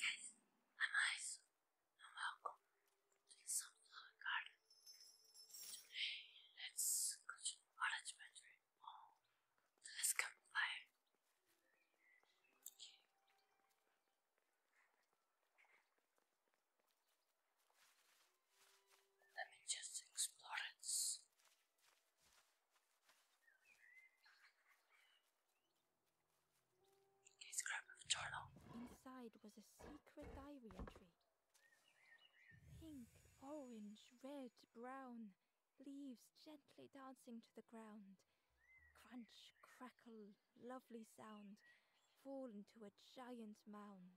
Guys, I'm Ice, welcome to the Sunflower Garden. Today, let's continue our adventure on the last campfire. Okay. Let me just explore it. Inside was a secret diary tree. Pink, orange, red, brown, leaves gently dancing to the ground. Crunch, crackle, lovely sound, fall into a giant mound.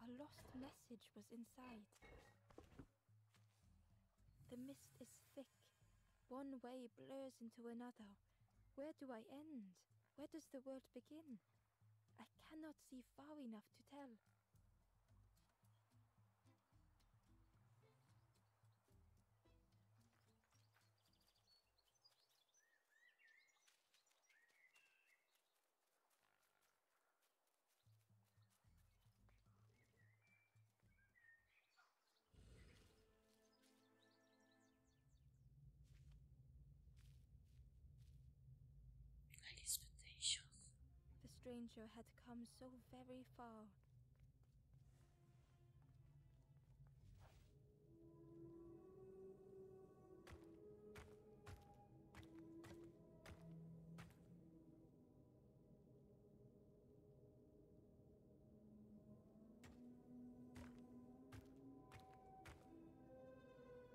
A lost message was inside. The mist is thick. One way blurs into another. Where do I end? Where does the world begin? I cannot see far enough to tell. Alice Foundation the stranger had come so very far.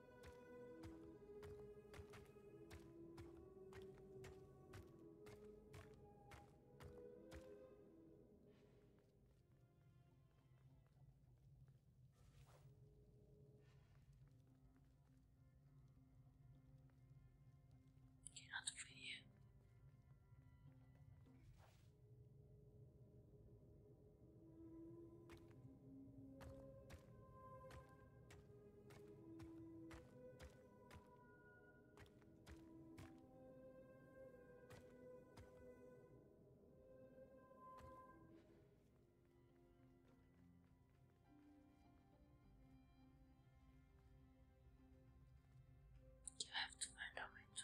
Okay, another video. You have to find a way to.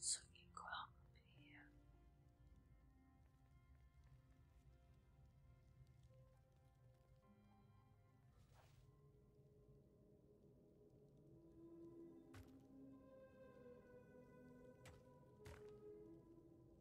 So you go up here.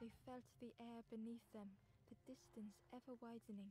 They felt the air beneath them the distance ever widening.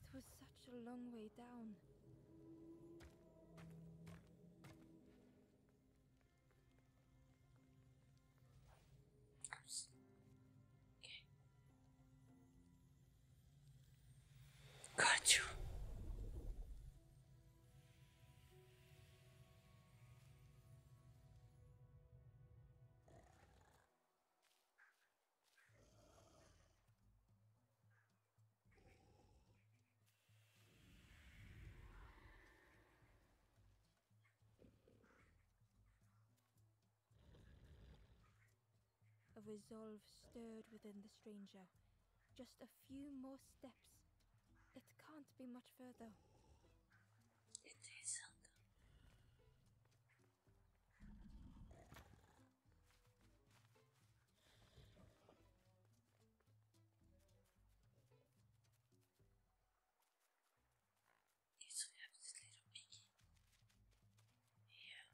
It was such a long way down. Got you. A resolve stirred within the stranger. Just a few more steps. It can't be much further. It And so we have this little piggy here.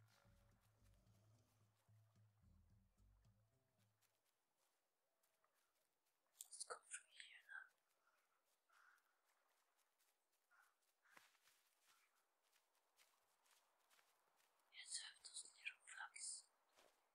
Let's go through here now. Yes, I have those little flags.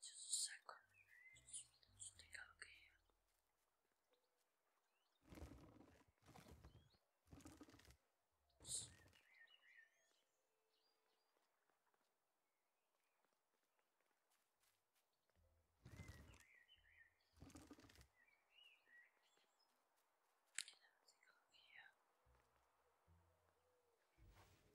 Just a second. Just a look here. So. Take a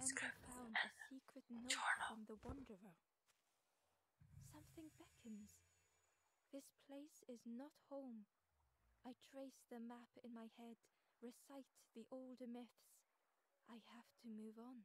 And they found a secret note from the Wanderer. Something beckons. This place is not home. I trace the map in my head, recite the older myths. I have to move on.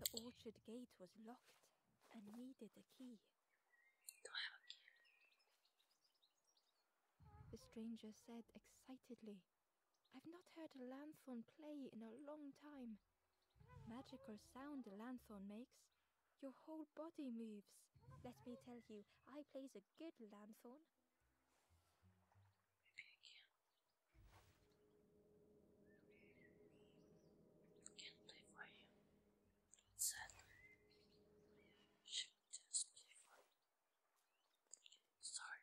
The orchard gate was locked and needed a key. The stranger said excitedly, I've not heard a lanthorn play in a long time. Magical sound the lanthorn makes. Your whole body moves. Let me tell you, I plays a good lanthorn. Can't play for you. That's sad. Should just play Sorry.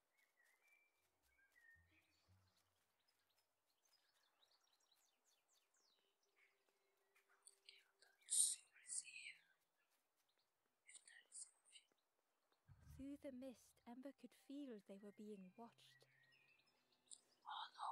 Through the mist, Ember could feel they were being watched. Oh no.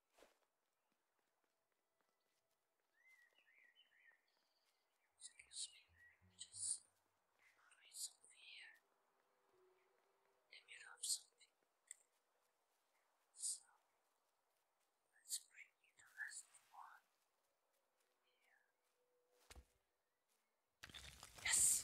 Excuse me, just read something here. Let me rub something. So let's bring in the last one. Here. Yes.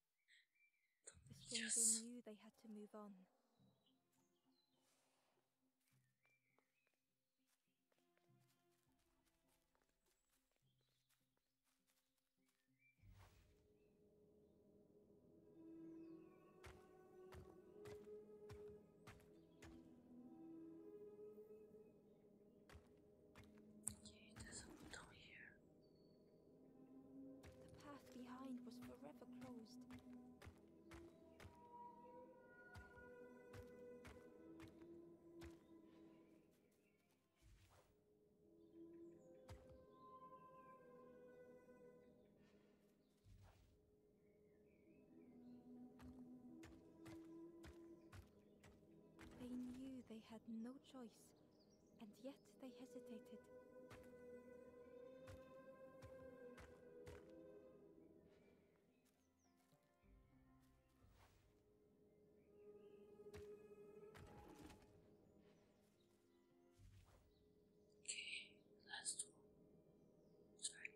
The stranger knew they had to move on. The path behind was forever closed. They knew they had no choice and yet they hesitated. Okay, let's do it right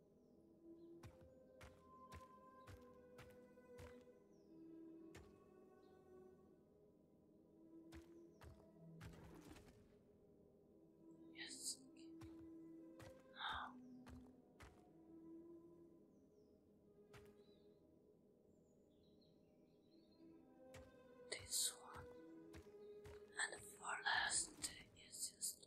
Yes. Now. This one and for last is just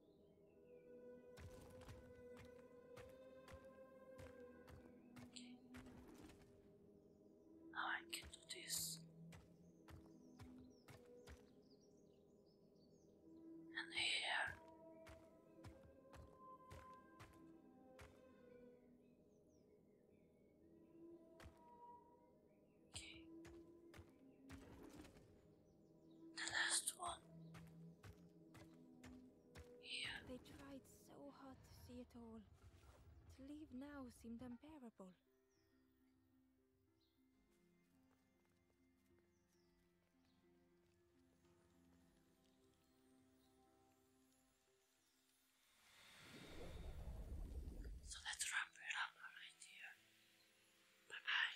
Okay. Now I can do this. And here. Okay. The last one. Here. They tried so hard to see it all. To leave now seemed unbearable. So let's wrap it up right here. bye.